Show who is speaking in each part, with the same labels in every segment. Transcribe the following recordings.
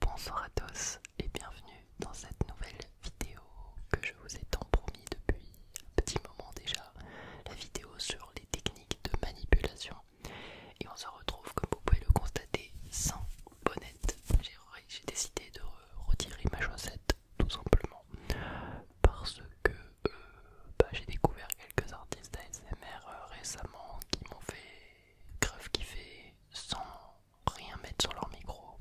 Speaker 1: Bonsoir à tous et bienvenue dans cette nouvelle vidéo que je vous ai tant promis depuis un petit moment déjà, la vidéo sur les techniques de manipulation. Et on se retrouve, comme vous pouvez le constater, sans bonnet. J'ai décidé de retirer ma chaussette tout simplement parce que euh, bah, j'ai découvert quelques artistes ASMR euh, récemment qui m'ont fait grave kiffer sans rien mettre sur leur micro.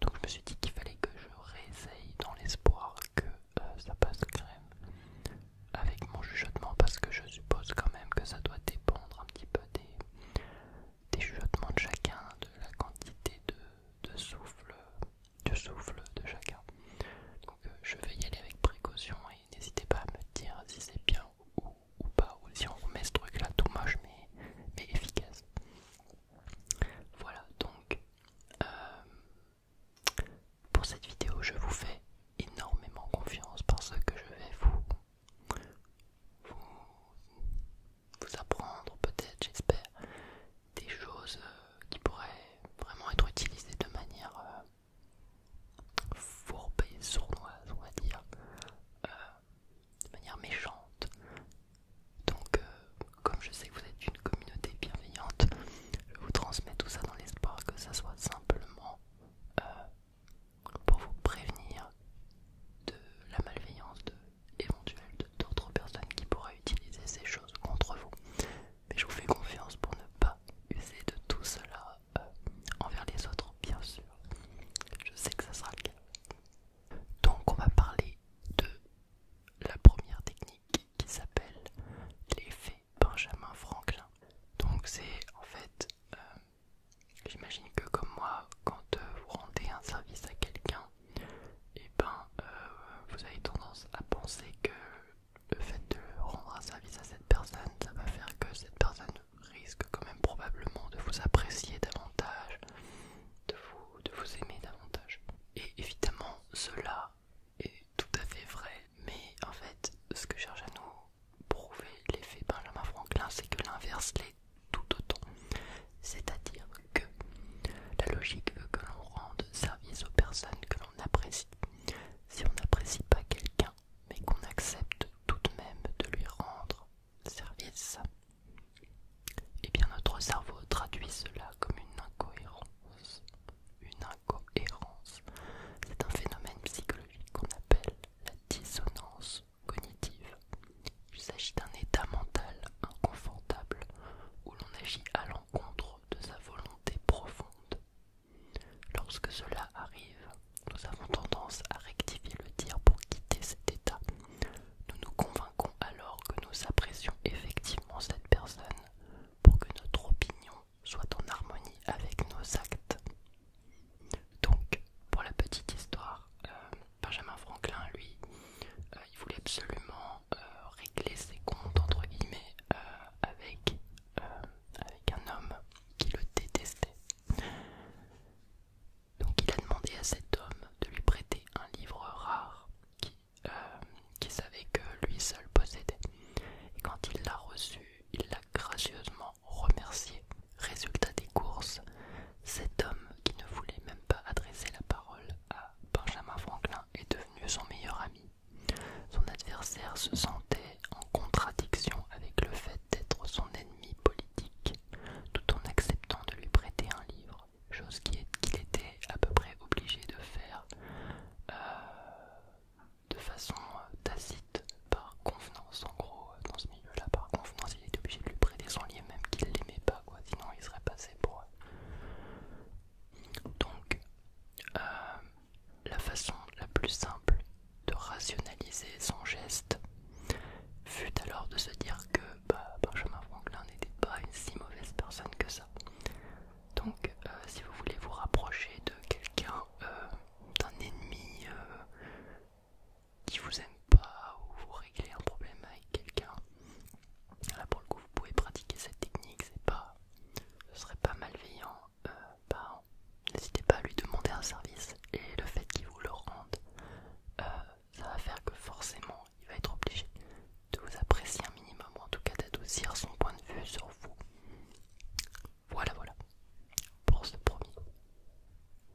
Speaker 1: Donc je me suis dit qu'il fallait que je réessaye dans l'espoir que euh, ça passe crème avec mon chuchotement parce que je suppose quand même que ça doit dépendre un petit peu des, chuchotements de chacun, de la quantité de, souffle de souffle de chacun. Donc euh, je vais y aller avec précaution et n'hésitez pas à me dire si c'est bien ou ou pas, ou si on remet ce truc là tout moche mais, efficace. Voilà donc euh, pour cette vidéo je vous fais énormément confiance parce que je vais vous vous, vous apprendre peut-être j'espère des choses euh, qui pourraient vraiment être utilisées de manière euh, fourbe et sournoise, on va dire, euh, de manière méchante. Donc, euh, comme je sais que vous êtes une communauté bienveillante, je vous transmets tout ça dans l'espoir que ça soit simplement euh, pour vous prévenir de la malveillance de, éventuelle d'autres personnes qui pourraient utiliser ces choses contre vous. Mais je vous fais confiance pour ne pas user de tout cela euh, envers les autres, bien sûr. Je sais que ça sera le cas. Donc, on va parler de la première technique qui s'appelle l'effet Benjamin Franklin. Donc, c'est en fait, euh, j'imagine que comme moi, quand euh, vous rendez un service à quelqu'un, et eh ben vous avez tendance à penser que le fait de rendre un service à cette personne, ça va faire que cette personne risque quand même probablement de vous apprécier davantage, de vous, de vous aimer davantage. Et évidemment, cela est tout à fait vrai, mais en fait, ce que cherche à nous prouver l'effet Benjamin Franklin, c'est que l'inverse l'est tout autant. C'est-à-dire que la logique veut que l'on rende service aux personnes que l'on apprécie. Si on n'apprécie pas quelqu'un, mais qu'on accepte tout de même de lui rendre service. Eh bien notre cerveau traduit cela comme une incohérence. Une incohérence, c'est un phénomène psychologique qu'on appelle la dissonance cognitive. Il s'agit d'un état mental inconfortable où l'on agit à l'encontre de sa volonté profonde Lorsque cela arrive, nous avons tendance à rectifier le tir pour quitter cet état. Nous nous convainquons alors que nous apprécions effectivement cette personne pour que notre opinion soit en harmonie avec nos actes. Donc, pour la petite histoire, euh, Benjamin Franklin, lui, euh, il voulait absolument euh, régler ses comptes, entre guillemets, avec euh, avec un homme qui le détestait. Donc il a demandé à cet homme de lui prêter un livre rare qu'il euh, qui savait que lui seul possédait. Et quand il l'a reçu, il l'a gracieusement remercié. Résultat des courses, cet homme qui ne voulait même pas adresser la parole à Benjamin Franklin est devenu son meilleur ami. Son adversaire se sentait en contradiction avec le fait d'être son ennemi politique, tout en acceptant de lui prêter un livre, chose qu'il était à peu près obligé de faire euh, de façon euh, tacite, par convenance en gros, euh, dans ce milieu-là, par convenance, il était obligé de lui prêter son livre même qu'il l'aimait pas, quoi, sinon il serait passé pour... Donc, la façon la plus simple de rationaliser son geste fut alors de se dire que bah, Benjamin Franklin n'était pas une si mauvaise personne que ça. Donc euh, si vous voulez vous rapprocher de quelqu'un, euh, d'un ennemi euh, qui vous aime pas ou vous régler un problème avec quelqu'un, là pour le coup vous pouvez pratiquer cette technique, c'est pas, ce serait pas malveillant, euh, bah, n'hésitez pas à lui demander un service et le fait qu'il vous le rende, euh, ça va faire que forcément il va être obligé de vous apprécier un minimum, en tout cas d'adoucir son point de vue sur vous. Voilà, voilà pour ce premier.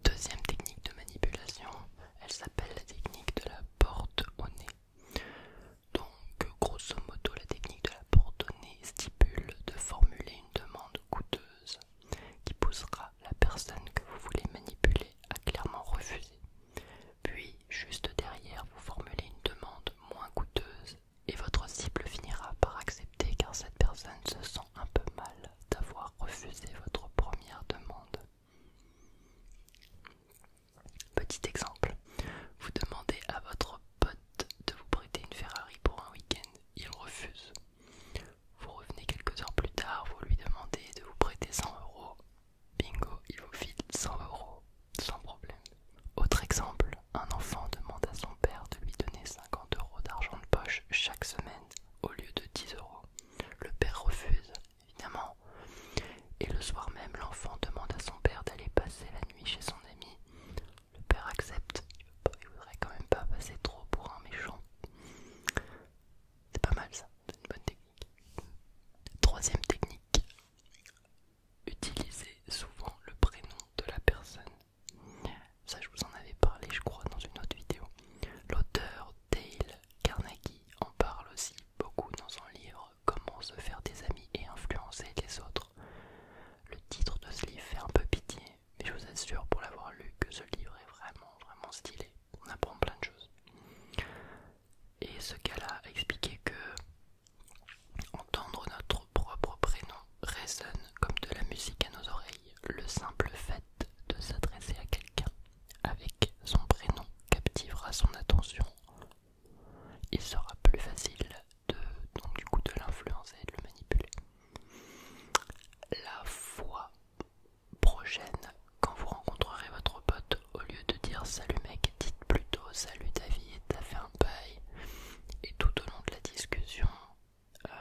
Speaker 1: Deuxième technique de manipulation, elle s'appelle la technique de la porte au nez. Donc grosso modo, la technique de la donnée stipule de formuler une demande coûteuse qui poussera la personne que vous voulez manipuler à clairement refuser. Puis, juste derrière, vous formulez une demande moins coûteuse et votre cible finira par accepter car cette personne se sent un peu mal d'avoir refusé votre première demande. Petit exemple, vous demandez à votre de vous prêter une Ferrari pour un week-end, il refuse. Vous revenez quelques heures plus tard, vous lui demandez de vous prêter 100 euros. Bingo, il vous file 100 euros, sans problème. Autre exemple, un enfant demande à son père de lui donner 50 euros d'argent de poche chaque semaine au lieu de 10 euros. Le père refuse, évidemment. Et le soir même, l'enfant demande à son père d'aller passer la nuit chez son ami le père accepte, il, ne voudrait quand même pas passer trop pour un méchant. C'est pas mal ça, c'est une bonne technique. Troisième technique, utiliser souvent le prénom de la personne. Ça je vous en avais parlé je crois dans une autre vidéo. L'auteur Dale Carnegie en parle aussi beaucoup dans son livre Comment se faire des amis et influencer les autres. Le titre de ce livre fait un peu pitié, mais je vous assure pour l'avoir lu que ce livre est vraiment, vraiment stylé. On apprend plein de choses. Et ce qu'elle a expliqué que entendre notre propre prénom résonne comme de la musique à nos oreilles. Le simple fait de s'adresser à quelqu'un avec son prénom captivera son attention. Il sera plus facile de, donc du coup de l'influencer et de le manipuler. La fois prochaine, quand vous rencontrerez votre pote, au lieu de dire salut mec, dites plutôt salut David, t'as fait un bail. Et tout au long de la discussion, euh,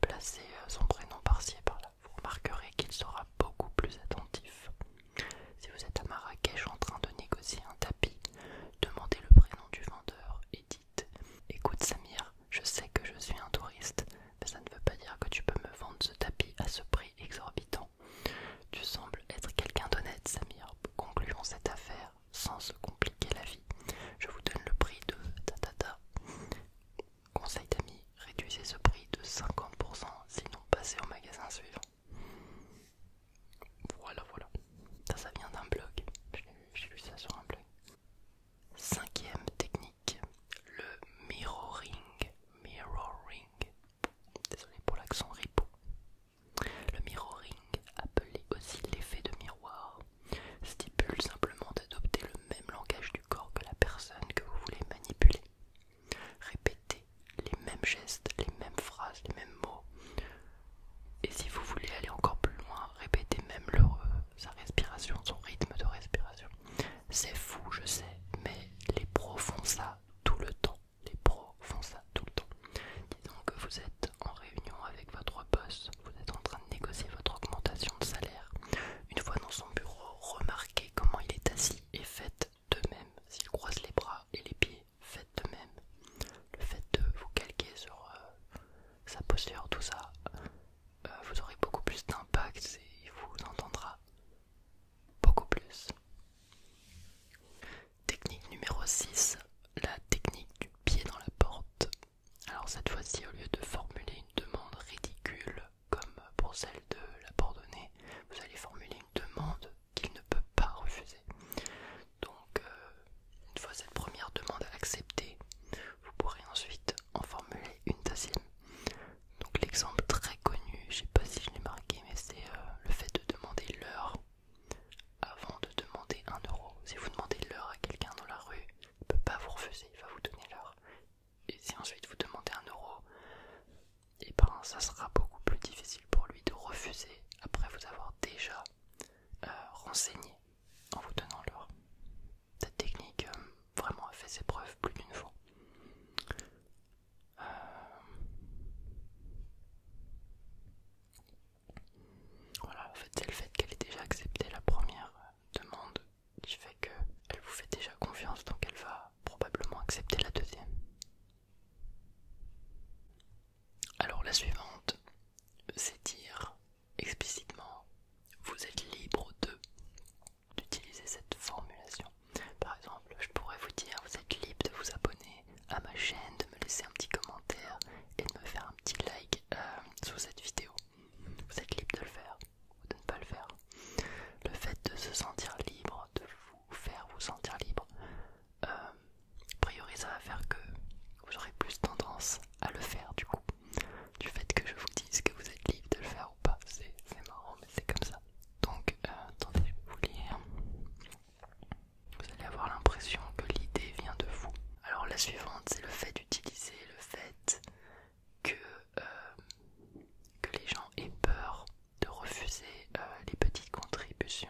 Speaker 1: placez euh, son prénom par-ci par-là. Vous remarquerez qu'il sera beaucoup plus attentif. Si vous êtes à Marrakech en train de négocier un tapis, Demandez le prénom du vendeur et dites Écoute Samir, je sais que je suis un touriste, mais ça ne veut pas dire que tu peux me vendre ce tapis à ce prix exorbitant. Tu sembles être quelqu'un d'honnête, Samir. Concluons cette affaire sans se compliquer la vie. Je vous donne le prix de tatata. Conseil d'ami, réduisez ce prix de 50%, sinon passez au magasin suivant. Voilà, voilà. Ça, vient d'un blog. J'ai lu ça sur un blog. Cinquième technique, le mirroring. Mirroring. Désolé pour l'accent ripou. Le mirroring, appelé aussi l'effet de miroir, stipule simplement d'adopter le même langage du corps que la personne que vous voulez manipuler. Répétez les mêmes gestes, les mêmes phrases, les mêmes mots. Et si vous voulez aller encore plus loin, répétez même l'heureux, sa respiration, son rythme de respiration. C'est fou, je sais, mais les pros font ça tout le temps. Les pros font ça tout le temps. Disons que vous êtes en réunion avec votre boss, vous êtes en train de négocier votre augmentation de salaire. Une fois dans son bureau, remarquez comment il est assis et faites de même s'il croise les bras et les pieds faites de même. Le fait de vous calquer sur euh, sa posture, tout ça, euh, vous aurez beaucoup plus d'impact et il vous entendra beaucoup plus. Technique numéro 6, la technique du pied dans la porte. Alors cette fois-ci, au lieu de formuler une demande ridicule comme pour celle de l'abandonner, vous allez formuler une demande qu'il ne peut pas refuser. Donc, euh, une fois cette première demande acceptée, vous pourrez ensuite en formuler une deuxième. Donc, l'exemple très connu, je sais pas si je l'ai marqué, mais c'est euh, le fait de demander l'heure avant de demander un euro. Si vous demandez l'heure à quelqu'un dans la rue, il ne peut pas vous refuser, il va vous donner l'heure. Et si ensuite vous demandez un euro, et eh ben ça sera beaucoup plus difficile pour lui de refuser après vous avoir déjà euh, renseigné en vous donnant l'heure. Cette technique euh, vraiment a fait ses preuves plus d'une fois. Euh, voilà, en fait c'est le fait qu'elle ait déjà accepté la première demande qui fait qu'elle vous fait déjà confiance donc elle va probablement accepter la deuxième. Alors la suivante, c'est dire explicitement vous êtes libre de d'utiliser cette formulation. Par exemple, je pourrais vous dire vous êtes libre de vous abonner à ma chaîne, de me laisser un petit commentaire et de me faire un petit like euh, sous cette vidéo. Vous êtes libre de le faire ou de ne pas le faire. Le fait de se sentir libre, de vous faire vous sentir libre, euh, a priori ça va faire que vous aurez plus tendance à le faire du coup du fait que je vous dise que vous êtes libre de le faire ou pas c'est marrant mais c'est comme ça donc tant euh, attendez je vous lire vous allez avoir l'impression que l'idée vient de vous alors la suivante c'est le fait d'utiliser le fait que euh, les gens aient peur de refuser euh, les petites contributions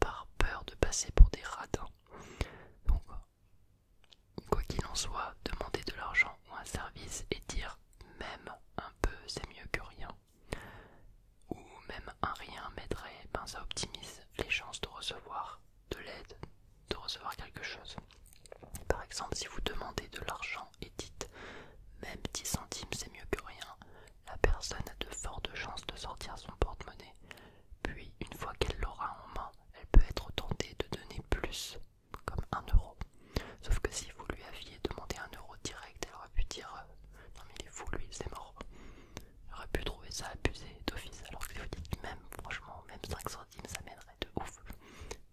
Speaker 1: par peur de passer pour des radins. Donc, quoi qu'il en soit, demander de l'argent ou un service et dire même un peu c'est mieux que rien, ou même un rien m'aiderait, ben, ça optimise les chances de recevoir de l'aide, de recevoir quelque chose. Par exemple, si vous demandez de l'argent et dites même 10 centimes c'est mieux que rien, la personne a de fortes chances de sortir son porte-monnaie, puis une fois qu'elle l'aura en main, elle peut être tentée de donner plus, comme un euro. Sauf que si vous lui aviez demandé un euro direct, elle aurait pu dire euh, non mais il est fou lui, c'est mort. Elle aurait pu trouver ça abusé d'office, alors que vous dites même franchement, même 5 centimes ça mènerait de ouf,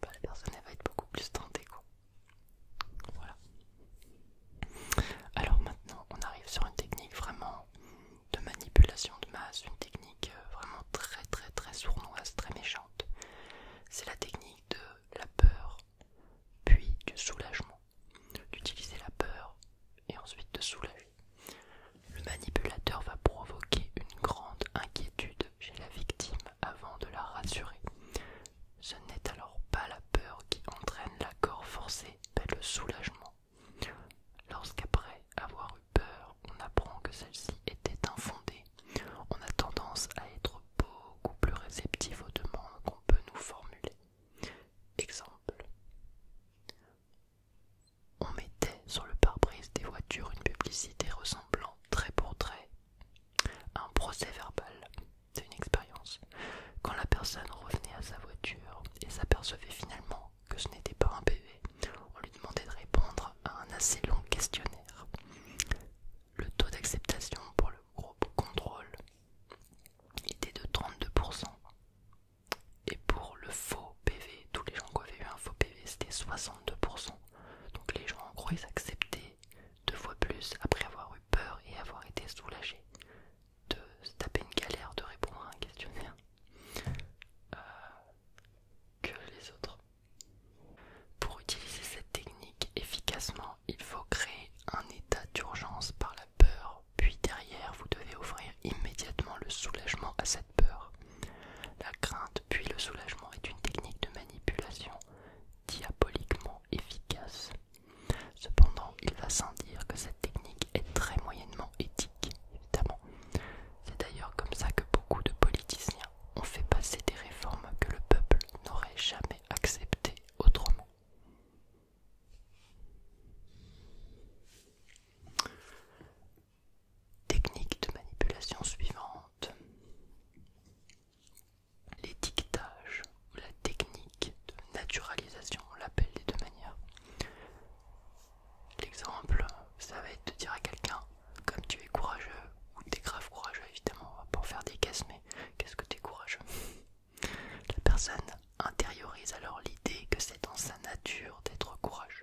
Speaker 1: bah, la personne elle va être beaucoup plus tentée quoi. Voilà. Alors maintenant, on arrive sur une technique vraiment de manipulation de masse, une technique euh, vraiment très très très sournoise, très méchante. C'est la technique de la peur, puis du soulagement. D'utiliser la peur et ensuite de soulager. Le manipulateur va provoquer une grande inquiétude chez la victime avant de la rassurer. Ce n'est alors pas la peur qui entraîne l'accord forcé, mais le soulagement. Lorsqu'après avoir eu peur, on apprend que celle-ci était infondée, on a tendance à être beaucoup plus réceptif aux demandes qu'on peut nous formuler. Exemple On mettait sur le pare-brise des voitures une publicité ressemblant trait pour trait un procès verbal, c'est une expérience. Quand la personne revenait à sa voiture et s'apercevait finalement que ce n'était pas un PV, on lui demandait de répondre à un assez long questionnaire. Le taux d'acceptation pour le groupe contrôle était de 32%. Et pour le faux PV, tous les gens qui avaient eu un faux PV, c'était 62%. Donc les gens en gros ils acceptaient deux fois plus après avoir eu peur et avoir été soulagé de se taper une galère de répondre à un questionnaire euh, que les autres. Pour utiliser cette technique efficacement, il faut créer un état d'urgence par la peur, puis derrière vous devez offrir immédiatement le soulagement à cette peur. La crainte puis le soulagement est une technique de manipulation diaboliquement efficace. Cependant, il va sans dire que cette technique est très moyennement éthique, évidemment. C'est d'ailleurs comme ça que beaucoup de politiciens ont fait passer des réformes que le peuple n'aurait jamais acceptées autrement. Technique de manipulation suivante l'étiquetage ou la technique de naturalisation, on l'appelle des deux manières. L'exemple, ça va être de dire à quelqu'un, comme tu es courageux, ou t'es grave courageux, évidemment, on va pas faire des caisses, mais qu'est-ce que tu es courageux La personne intériorise alors l'idée que c'est dans sa nature d'être courageuse.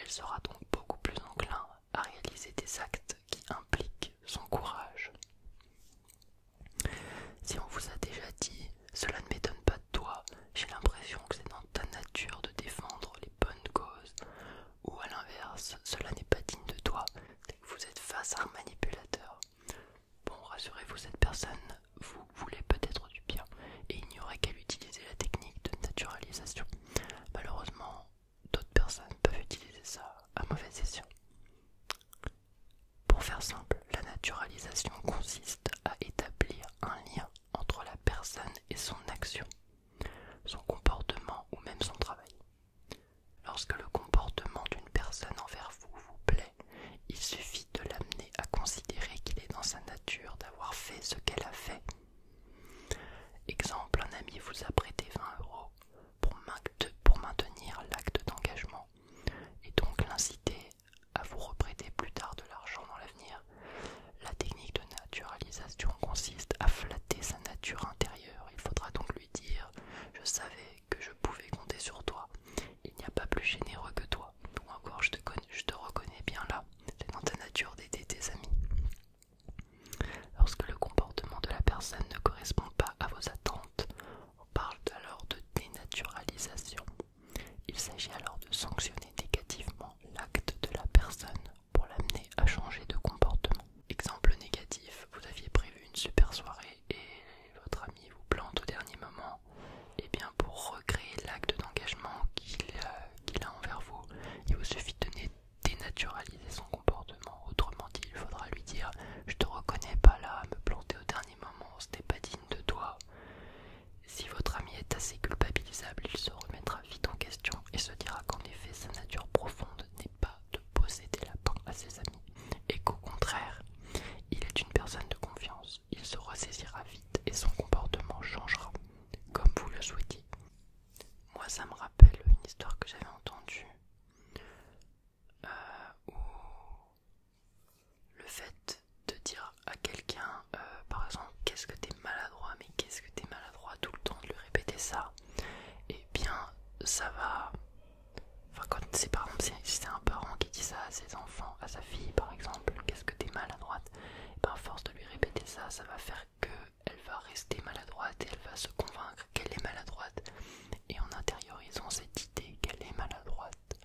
Speaker 1: Elle sera donc beaucoup plus enclin à réaliser des actes qui impliquent son courage. Si on vous a déjà dit cela ne m'étonne pas de toi, j'ai l'impression que c'est dans ta nature de défendre les bonnes causes, ou à l'inverse, cela n'est pas digne de toi, que vous êtes face à un manipulateur. Bon, rassurez-vous, cette personne vous voulez peut-être du bien et il n'y aurait qu'à utiliser la technique de naturalisation. Malheureusement, d'autres personnes peuvent utiliser ça à mauvaise session. Pour faire simple, la naturalisation consiste à établir un lien entre la personne et son action, son comportement ou même son travail. Lorsque le comportement d'une personne envers vous vous plaît, il suffit de l'amener à considérer qu'il est dans sa nature d'avoir fait ce qu'elle a fait. Exemple, un ami vous a prêté 20 euros, pour, maintenir l'acte d'engagement et donc l'inciter à vous reprêter plus tard de l'argent dans l'avenir. La technique de naturalisation consiste à flatter sa nature intérieure. Il faudra donc lui dire Je savais que je pouvais compter sur toi. Il n'y a pas plus généreux que toi. Ou encore Je te, je te reconnais bien là. C'est dans ta nature d'aider tes amis. Lorsque le comportement de la personne ne correspond pas à vos attentes, on parle alors de dénaturalisation. Il s'agit alors de sanctionner négativement l'acte de la personne pour l'amener à changer de comportement. Exemple négatif, vous aviez prévu une super soirée et votre ami vous plante au dernier moment. Eh bien pour recréer l'acte d'engagement qu'il a, envers vous, il vous suffit de dénaturaliser son comportement. Autrement dit, il faudra lui dire Je te reconnais pas là, me planter au dernier moment, c'était pas digne de toi. Si votre ami est assez culpabilisable, il se remettra vite en question et se dira qu'en effet, sa nature profonde n'est pas de posséder la à ses amis et qu'au contraire, il est une personne de confiance. Il se ressaisira vite et son comportement changera, comme vous le souhaitez. Moi, ça me rappelle une histoire que j'avais entendue euh, où le fait de dire à quelqu'un, euh, par exemple, qu'est-ce que t'es maladroit, mais qu'est-ce que t'es maladroit tout le temps, de lui répéter ça, et eh bien ça va. Enfin, quand c'est par exemple, si c'est un parent qui dit ça à ses enfants, à sa fille par exemple, qu'est-ce que t'es maladroite, et eh ben, force de lui répéter ça, ça va faire qu'elle va rester maladroite et elle va se convaincre qu'elle est maladroite. Et en intériorisant cette idée qu'elle est maladroite,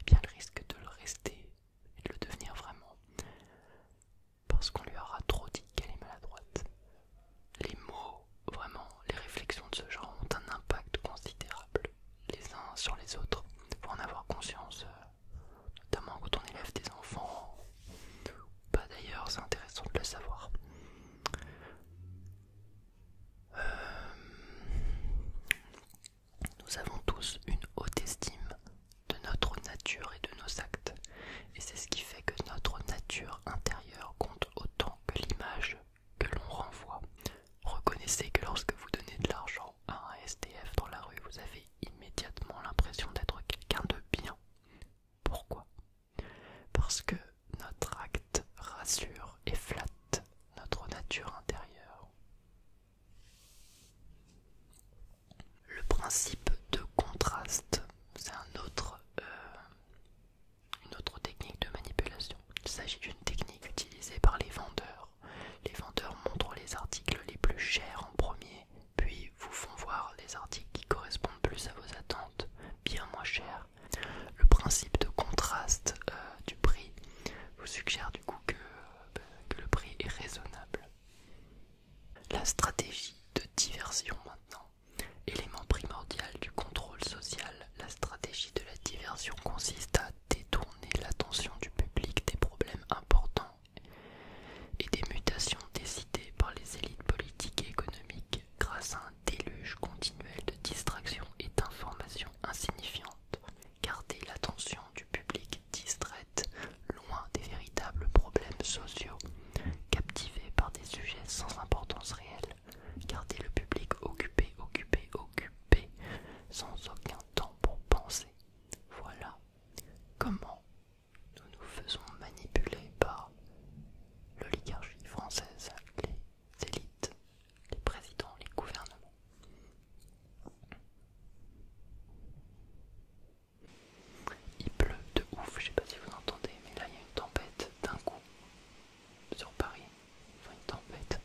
Speaker 1: eh bien le risque de le rester et de le devenir vraiment. Parce qu'on lui aura trop dit qu'elle est maladroite. Les mots, vraiment, les réflexions de ce genre ont un impact considérable les uns sur les autres. Pour en avoir conscience, euh, notamment quand on élève des enfants pas bah, d'ailleurs, c'est intéressant de le savoir. Euh, nous avons tous une haute estime de notre nature et de nos actes, et c'est ce qui fait que notre nature intérieure compte autant que l'image que l'on renvoie. Reconnaissez que lorsque vous donnez de l'argent à un SDF dans la rue, vous avez immédiatement l'impression d'être quelqu'un de bien. Pourquoi parce que notre acte rassure et flatte notre nature intérieure. Le principe de contraste, c'est euh, une autre technique de manipulation. Il s'agit d'une technique utilisée par les vendeurs. Les vendeurs montrent les articles les plus chers en premier puis vous font voir les articles qui correspondent plus à vos attentes, bien moins chers. Le principe de contraste euh, du prix vous suggère du coup euh, ben, que le prix est raisonnable. La stratégie de diversion maintenant. Élément primordial du contrôle social, la stratégie de la diversion consiste à détourner l'attention du public des problèmes importants et des mutations décidées par les élites politiques et économiques grâce à un déluge continuel de distractions et d'informations insignifiantes. Garder l'attention du public distraite, loin des véritables problèmes sociaux, captivés par des sujets sans importance réelle. Garder le public occupé, occupé, occupé, sans aucun temps pour penser. Voilà comment nous nous faisons manipuler par l'oligarchie française, les élites, les présidents, les gouvernements. Il pleut de ouf, je sais pas si vous entendez, mais là il y a une tempête d'un coup sur Paris. une tempête,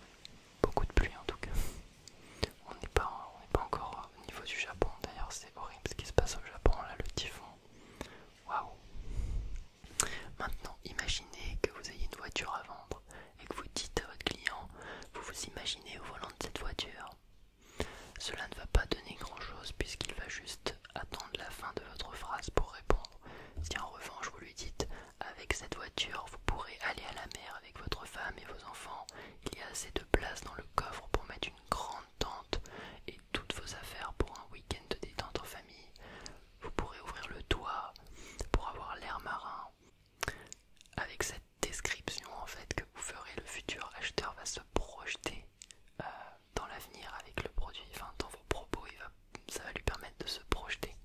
Speaker 1: beaucoup de pluie en tout cas. On n'est pas, pas encore au niveau du Japon, d'ailleurs c'est horrible ce qui se passe au Japon, là le typhon Maintenant, imaginez que vous ayez une voiture à vendre et que vous dites à votre client vous vous imaginez au volant de cette voiture. Cela ne va pas donner grand-chose puisqu'il va juste attendre la fin de votre phrase pour répondre. Si en revanche vous lui dites avec cette voiture vous pourrez aller à la mer avec votre femme et vos enfants, il y a assez de place dans le coffre pour mettre une grande tente et toutes vos affaires pour un week-end de détente en famille. Vous pourrez ouvrir le toit pour avoir l'air marin. Avec cette description en fait que vous ferez, le futur acheteur va se projeter euh, dans l'avenir avec le produit, enfin dans vos propos, ça va lui permettre de se projeter.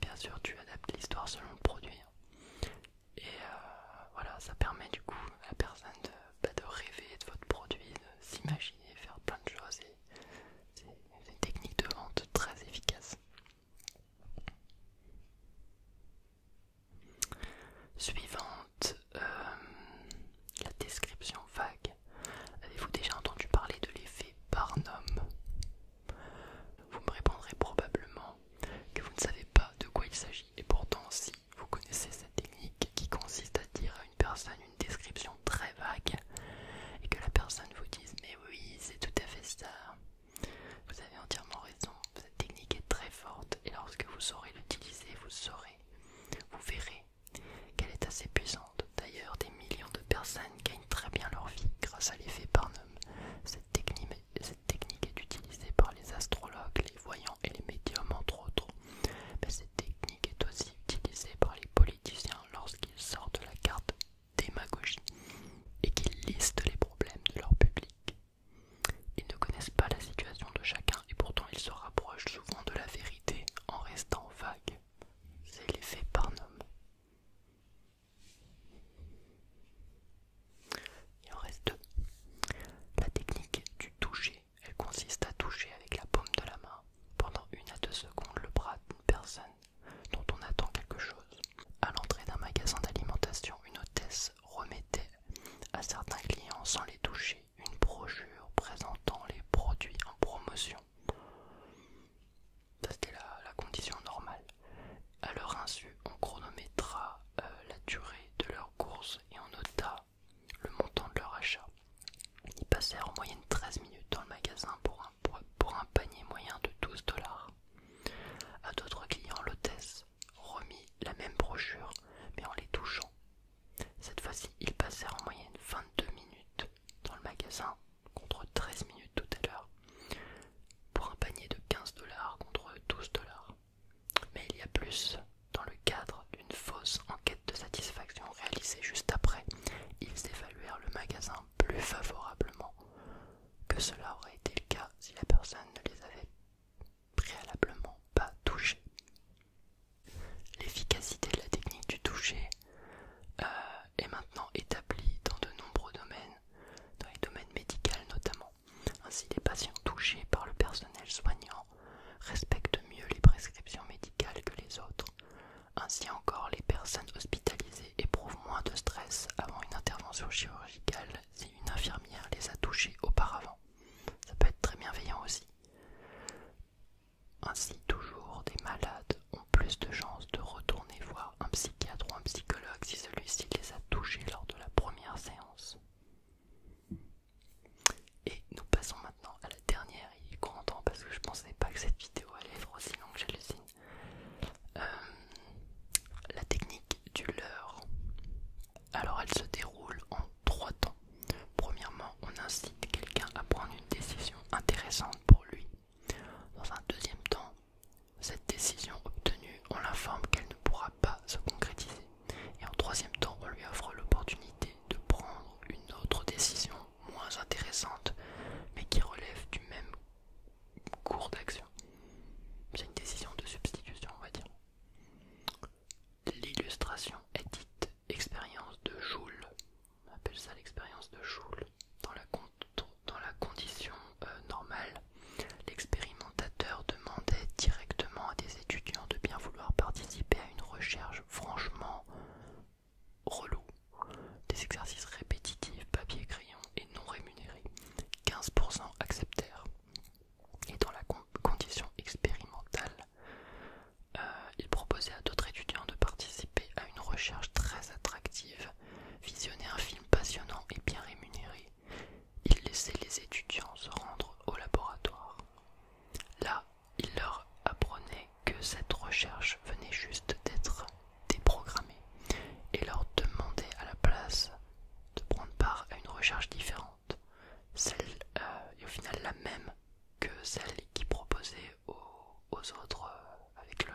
Speaker 1: Bien sûr, tu adaptes l'histoire selon le produit. Hein. Et euh, voilà, ça permet du coup à la personne bah, de, rêver de votre produit, de s'imaginer, faire plein de choses. C'est une technique de vente très efficace. Suivante, euh, la description vague. Avez-vous déjà entendu parler de l'effet Barnum Vous me répondrez probablement que vous ne savez pas de quoi il s'agit. Et pourtant, si vous connaissez cette technique qui consiste à dire à une personne une description très vague et que la personne vous dise mais oui, c'est tout à fait ça, vous avez entièrement raison. Cette technique est très forte et lorsque vous saurez l'utiliser, vous saurez, vous verrez qu'elle est assez puissante. D'ailleurs, des millions de personnes gagnent très bien leur vie grâce à l'effet Barnum. Cette technique, cette technique est utilisée par les astrologues, les voyants et les médiums entre autres. Mais cette technique est aussi utilisée par les politiciens lorsqu'ils sortent la carte démagogie et qu'ils listent les problèmes de leur public. Ils ne connaissent pas la situation de chacun et pourtant ils se rapprochent souvent de la vérité en restant vagues. C'est l'effet Barnum. Il en reste deux. La technique du toucher, elle consiste à toucher avec la paume de la main pendant une à deux secondes le bras d'une personne dont on attend quelque chose. À l'entrée d'un magasin d'alimentation, une hôtesse remettait à certains clients sans les toucher une brochure présentant les produits en promotion. Ça C'était la condition normale. A leur insu, on chronométra euh, la durée de leur course et on nota le montant de leur achat. Ils passèrent en moyenne 13 minutes dans le magasin pour un, panier moyen de 12 dollars. À d'autres clients, l'hôtesse remit la même brochure, mais en les touchant. Cette fois-ci, ils passèrent en moyenne 22 minutes dans le magasin, contre 13 minutes tout à l'heure, pour un panier de 15 dollars contre 12 dollars. Mais il y a plus. Dans le cadre d'une fausse enquête de satisfaction réalisée juste après, ils évaluèrent le magasin plus favorablement que cela aurait été le cas si la personne ne les avait préalablement pas touchés. L'efficacité de la technique du toucher euh, est maintenant établie dans de nombreux domaines, dans les domaines médicaux notamment. Ainsi, les patients touchés par le personnel soignant respectent mieux les prescriptions médicales que les autres. Ainsi encore, les personnes hospitalisées éprouvent moins de stress avant une intervention chirurgicale si une infirmière les a touchés auparavant. Ça peut être très bienveillant aussi. Ainsi, toujours, des malades ont plus de chances de retourner voir un psychiatre ou un psychologue si celui-ci les a touchés lors de la première séance et nous passons maintenant à la dernière, et grand temps parce que je pensais pas que cette vidéo allait être aussi longue, j'hallucine. signe. Euh, la technique du leurre. Alors elle se déroule en trois temps. Premièrement, on incite quelqu'un à prendre une décision intéressante pour lui. Dans un deuxième temps, cette décision obtenue, on l'informe qu'elle ne pourra pas se concrétiser et en troisième temps, on lui offre l'opportunité de prendre une autre décision moins intéressante mais qui relève du même cours d'action. C'est une décision de substitution, on va dire. L'illustration est dite expérience de Joule. On appelle ça l'expérience de Joule dans la, dans la condition euh, normale, l'expérimentateur demandait directement à des étudiants de bien vouloir participer à une recherche franchement relou. Des exercices répétitifs, papier crayon et non rémunérés. 15% acceptèrent. Et dans la condition expérimentale, euh, il proposait à d'autres étudiants de participer à une recherche très attractive, visionner un film passionnant et bien rémunéré, il laissait les étudiants se rendre au laboratoire. Là, il leur apprenait que cette recherche venait juste d'être déprogrammée et leur demandait à la place de prendre part à une recherche différente, celle euh, et au final la même que celle qui proposait aux, autres euh, avec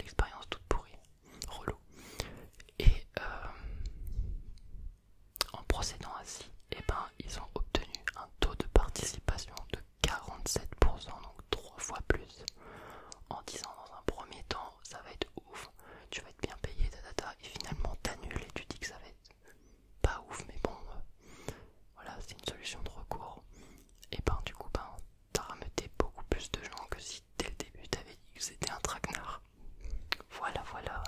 Speaker 1: l'expérience toute pourrie relou. Et euh, en procédant ainsi, et eh ben, ils ont obtenu un taux de participation de 47%, donc trois fois plus. En disant dans un premier temps, ça va être ouf, tu vas être bien payé, et finalement t'annules et tu dis que ça va être pas ouf, mais bon, euh, voilà, c'est une solution de recours. Et ben, du coup, ben, t'as rameuté beaucoup plus de gens que si dès le début t'avais dit que c'était un traquenard. Voilà, voilà.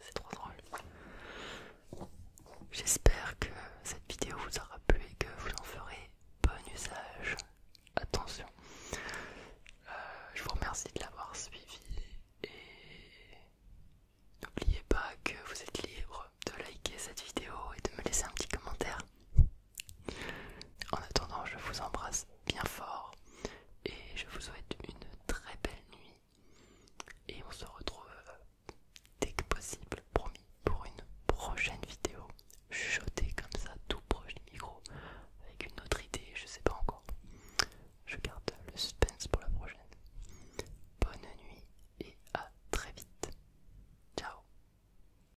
Speaker 1: C'est trop drôle. J'espère que cette vidéo vous aura plu et que vous en ferez bon usage. Attention. Euh, je vous remercie de l'avoir suivi et n'oubliez pas que vous êtes libre de liker cette vidéo et de me laisser un petit commentaire. En attendant, je vous embrasse bien fort et je vous souhaite une très belle nuit. Et on se retrouve dès que possible, promis, pour une prochaine vidéo. Chuchotée comme ça, tout proche du micro, avec une autre idée, je sais pas encore. Je garde le suspense pour la prochaine. Bonne nuit et à très vite. Ciao